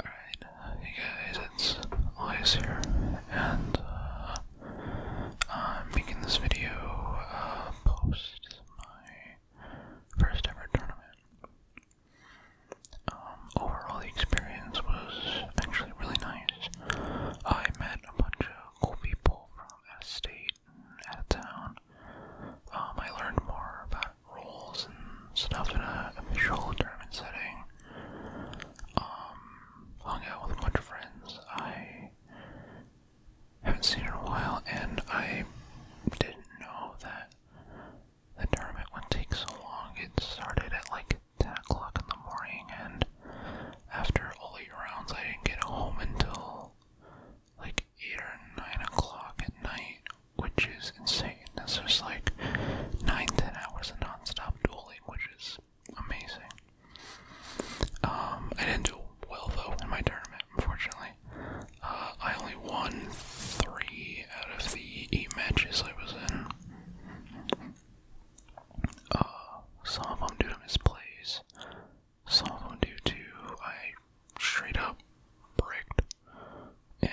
Alright, hey guys, it's Elias here, and uh, I'm making this video uh, post my first ever tournament. Um, overall, the experience was actually really nice. I met a bunch of cool people from out state and out town. Um, I learned more about roles and stuff in a official tournament setting. Um, hung out with a bunch of friends I haven't seen in a while, and I didn't know that the tournament would take so long. It started at like 10 o'clock in the morning, and after all eight rounds, I didn't get home until like 8 or 9 o'clock at night, which is insane. This is like 9 10 hours of non stop dueling, which is amazing. Um, I didn't do well though in my tournament, unfortunately. Uh, I only won 3 out of the 8 matches I was in. Uh, some of them due to misplays, some of them due to I straight up bricked and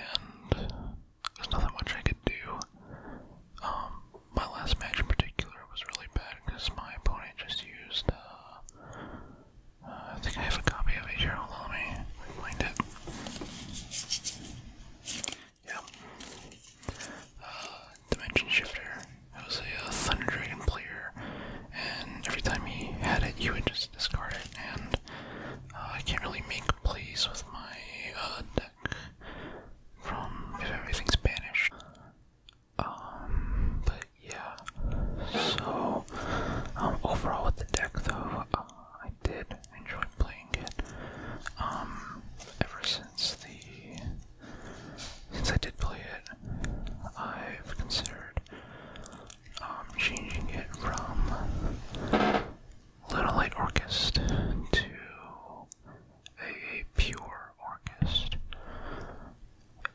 there's nothing much I could do. Um, my last match in particular was really bad because my opponent just used, uh, uh, I think I have a copy of it here, hold it. Yeah. Uh, dimension Shifter. It was a Thunder Dragon player, and every time he had it, you would just discard it, and I can't really make plays with my uh, deck from if everything's banished. Um, but yeah. So, um, overall with the deck though, uh, I did enjoy playing it. Um, ever since the since I did play it, I've considered I'm um, changing it from Little Light Orchest to a pure orchest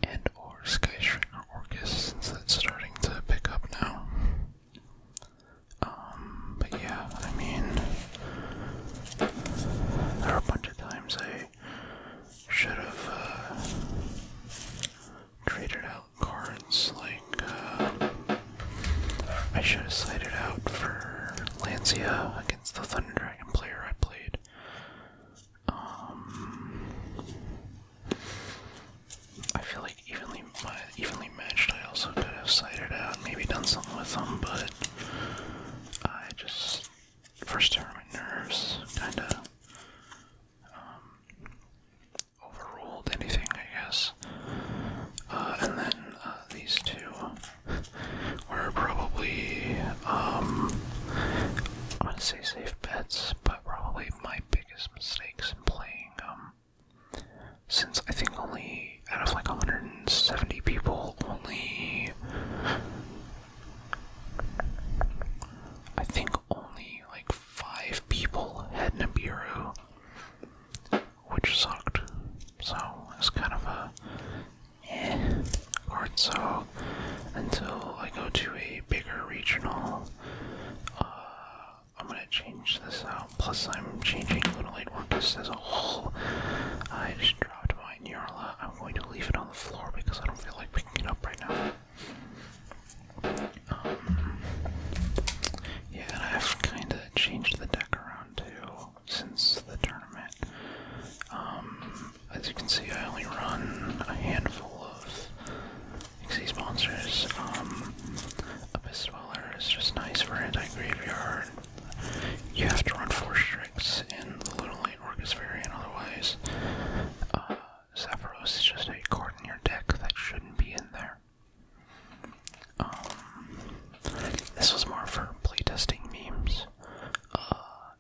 and or Sky Stringer Orchest since that's starting to pick up now. Um, but yeah, I mean, there are a bunch of times I should have uh, traded out cards like uh, I should have cited out for Lancia against the Thunder Dragon player I played. Um, I feel like evenly uh, evenly matched. I also could have cited out, maybe done something with them, but I just first time my nerves, kinda. Um, overruled anything, I guess. Uh, and then uh, these two were probably, um, I'm gonna say safe bets, but probably my biggest mistakes in playing. Um, since I think only out of like 170 people, only I think only like five people had Nibiru, which sucked. So it's kind of a eh card. until I go to a bigger regional, uh, I'm gonna change this out. Plus, I'm changing a little light work Orcus as a whole. I just dropped my Neurala. I'm going to leave it on the floor because I don't feel like picking it up right now. Um, yeah, I've kind of changed the deck around too since the tournament. Um, as you can see, I only run a handful of Xyz monsters. Um, Abyss Dweller is just nice for anti-graveyard. You have to run four tricks and the Little Late Orcus variant, otherwise, uh, Sephiroth is just a card in your deck that shouldn't be in there. Um, this was more for playtesting memes. Uh,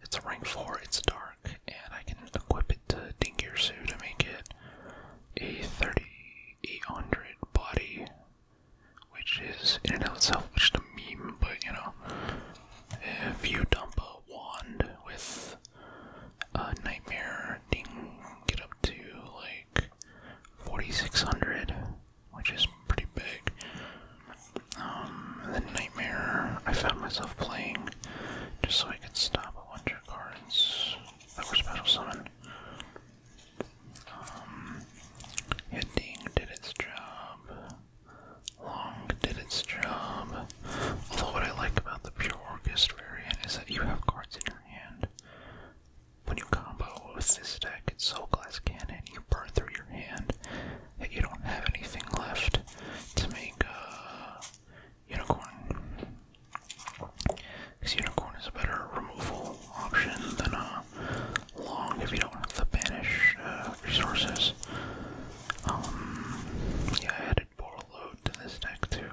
it's a rank 4, it's dark, and I can equip it to Dingier Sue to make it a 3800 body, which is in and of itself just a meme, but you know, if you dump a wand with uh, nightmare thing get up to like 4600, which is pretty big. Um, and then nightmare, I found myself playing just so I could stop a bunch of cards that were special summon. Um, Hitting did its job. Long did its job. Although what I like about the pure orchestra variant is that you have cards in your hand. When you combo with this deck, it's so glass cannon, you burn through your hand that you don't have anything left to make a uh, unicorn. Because unicorn is a better removal option than a uh, long if you don't have to banish uh, resources. Um, yeah, added Borlo to this deck too.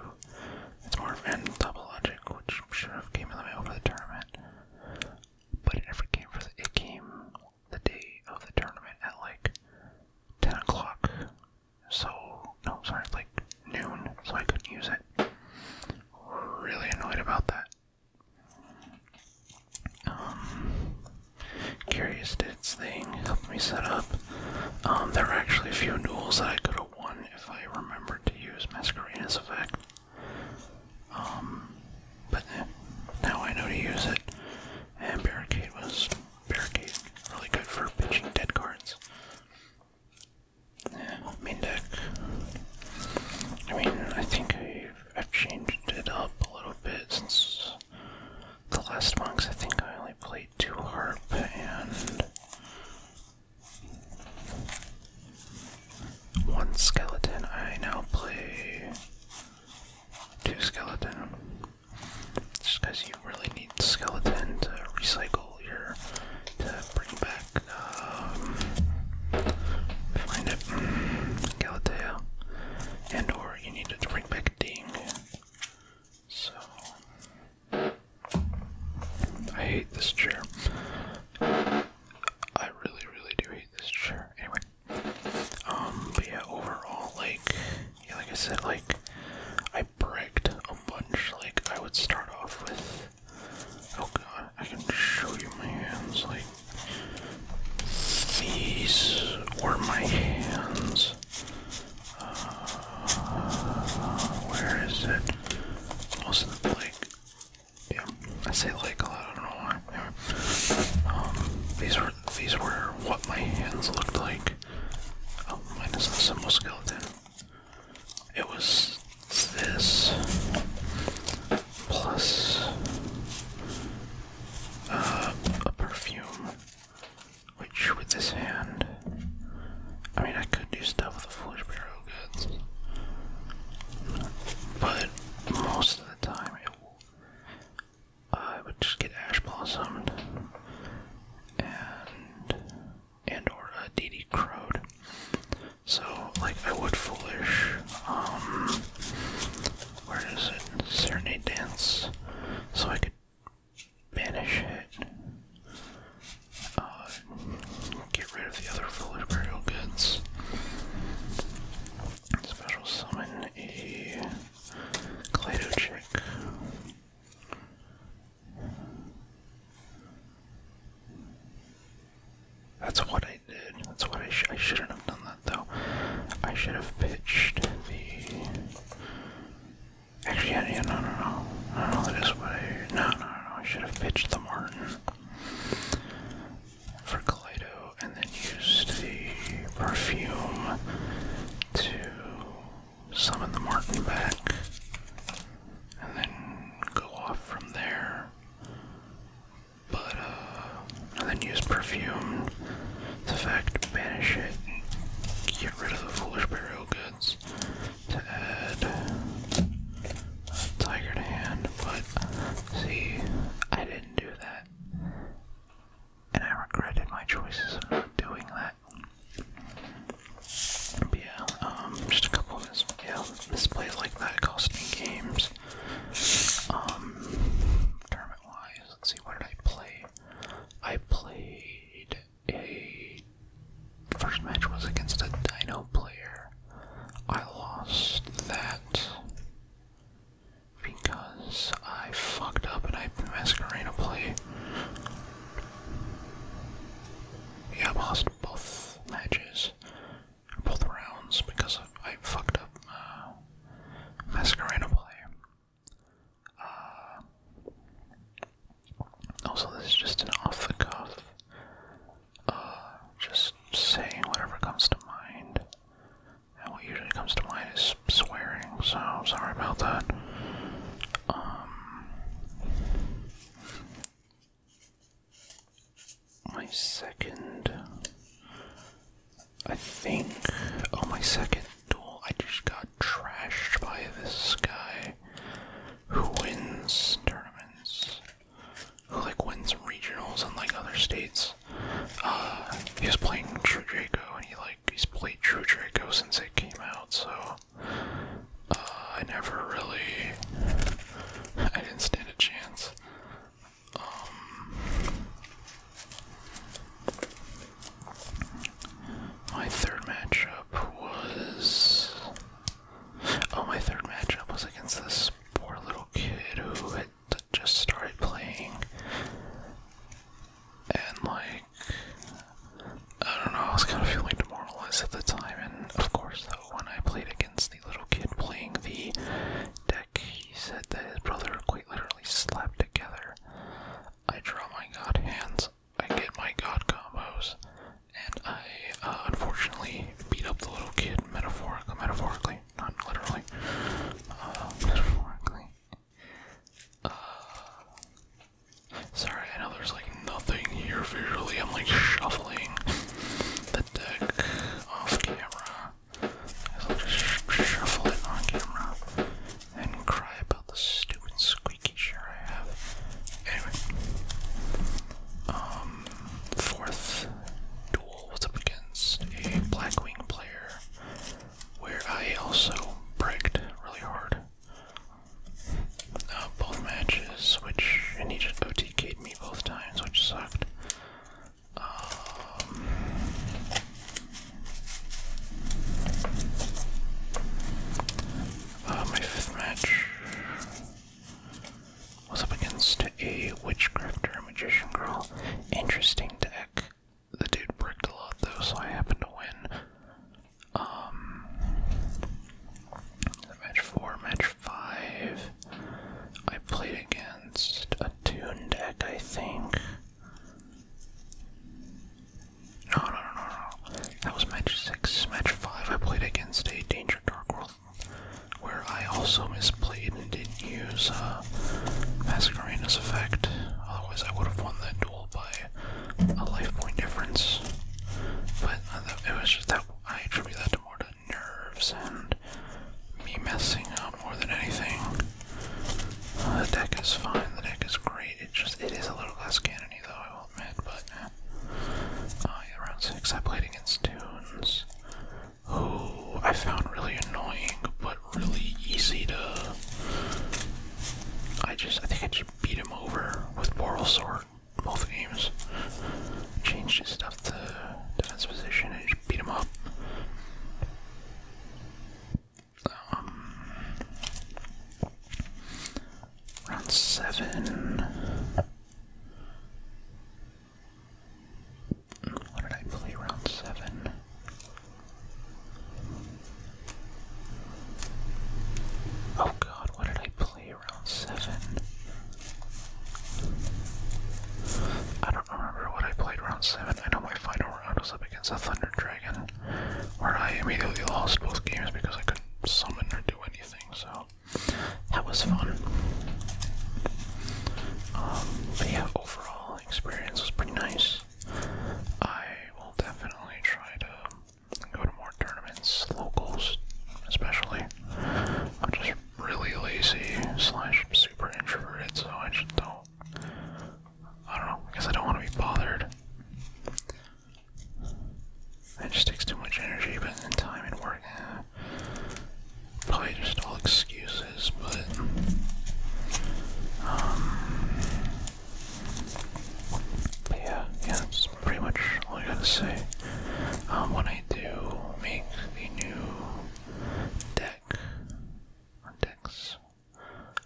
It's more of an double logic, which should have came in the way over the tournament. But it never came for the it came the day of the tournament at like ten o'clock. So no, sorry, it's like noon, so I couldn't use it. Really annoyed about that. Um, Curious did thing, helped me set up. Um, there are actually a few duels that I could have won if I remembered to use Masquerina's effect. Um, but now I know to use it. And Barricade was Barricade, really good for pitching dead cards. main deck. I mean, I think I've, I've changed it up a little bit since the last one, I think I only played two harp and one skeleton. I now play two skeleton. Just because you really need skeleton to recycle your to bring back um, find it mm, Galatea. And or you need to bring back Ding. So I hate this chair. I really, really do hate this chair. Anyway, um, but yeah, overall, like, like I said, like, I bricked a bunch. Like, I would start off with. Oh god, I can show you my hands. Like, these were my hands uh, where is it? Most of the lake. Yeah, I say lake a lot. I don't know why. Um, these were these were what my hands looked like. Oh, minus the symbol skeleton. It was this plus uh, a perfume which, with this hand, I mean, I could do stuff with a foolish barrel goods, but most of the time, I would just get ash blossomed and and or a DD crowed. So, like, I would foolish. Um, where is it? Serenade dance. So I could banish it, uh, get rid of the other foolish burial goods, special summon a Clado That's what I did. That's what I, sh I shouldn't have done that though. I should have pitched the Actually, no, no, no. No, that is what I. No, no, no. I should have pitched the Martin for Kaleido and then used the perfume to summon the Martin back and then go off from there. But, uh, and then use perfume the fact, banish it, get rid of the foolish burial goods to add a tiger hand, but see, I didn't do that. And I regretted my choices of doing that. yeah, um, just a couple of mis yeah, misplays like that costing games. Um, tournament wise, let's see, what did I play? I played a first match was against a Dino player. I lost that because I fucked up and I Masquerina play. Yeah, I lost both matches, both rounds because I fucked up uh, Masquerina play. Uh, also, this is just an off the cuff, uh, just saying whatever comes to mind. And what usually comes to mind is swearing, so I'm sorry about that. Um, my second I think on oh, my second duel, I just got trashed by this guy who wins tournaments, who like wins regionals in like other states. Uh, he playing True Draco, and he like he's played True Draco since it came out, so uh, I never really, I didn't stand a chance. Um, my third matchup was. Oh, my third matchup was against this poor little kid who had just started playing. And, like, I don't know, I was kind of feeling demoralized at the time. And, of course, the one I played against the little kid playing the deck, he said that his brother quite literally slapped together I draw my god hands, I get my god combos, and I uh, unfortunately beat up the little kid metaphorically, metaphorically, not literally, uh, metaphorically. Uh, sorry, I know there's like nothing here visually. I'm like shuffling the deck off camera. I'll just shuffle it on camera and cry about the stupid squeaky chair I have. Anyway, um, fourth duel was up against a Blackwing player where I also bricked really hard. Uh, both matches, which and he OTK'd me both times, which sucked. Um, uh, my fifth match was up against a witchcrafter, magician girl. Interesting deck. The dude bricked a lot though, so I happened to win. Um, match four, match five. I played against a tune deck, I think. No, no, no, no, no. That was match six. Match five, I played against a Danger Dark World, where I also misplayed and didn't use uh, Mascarena's effect. Otherwise, I would have won that duel by a life point difference. But uh, it was just that I attribute that to more to nerves and me messing up more than anything. Uh, the deck is fine. The deck is great. It just it is a little less cannony though. I will admit, but uh, oh, six I played against Tunes, who I found really annoying, but really easy to. I just I think I just beat him over with Boral both games. Changed his stuff to defense position and just beat him up. Um, round seven. What did I play round seven? Oh god, what did I play round seven? I don't remember what I played round seven. I know my final Tower I was up against a Thunder Dragon, where I immediately lost both games because I couldn't summon or do anything, so that was fun. Um, but yeah, overall experience was pretty nice. I will definitely try to go to more tournaments, locals especially. I'm just really lazy slash super introverted, so I just don't I don't know. because I don't want to be bothered. It just takes too much energy, but in time and work, eh. probably just all excuses. Um, but yeah, yeah, that's pretty much all I gotta say. Um, when I do make the new deck, or Dex.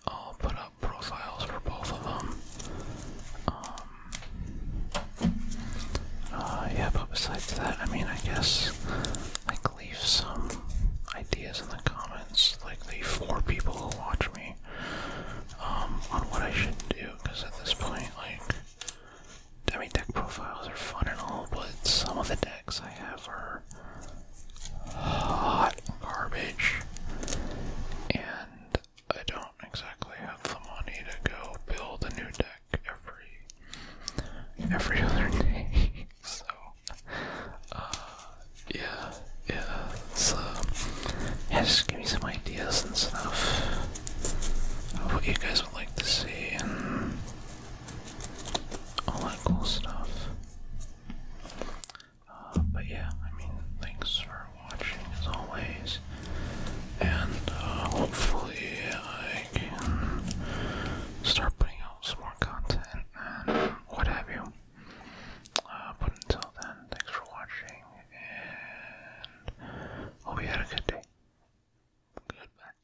I'll put up profiles for both of them. Um, uh, yeah, but besides that, I mean, I guess, like, leave some ideas in the comments, like the four people who watch me, um, on what I should do, because at this point, like, I mean, deck profiles are fun and all, but some of the decks I have are hot garbage, and I don't exactly have the money to go build a new deck every every other day. so, uh, yeah, yeah, it's, yeah, just give me some ideas and stuff of what you guys would like to see all that cool stuff. Uh, but yeah, I mean, thanks for watching as always, and uh, hopefully I can start putting out some more content and what have you. Uh, but until then, thanks for watching, and hope you had a good day. Goodbye.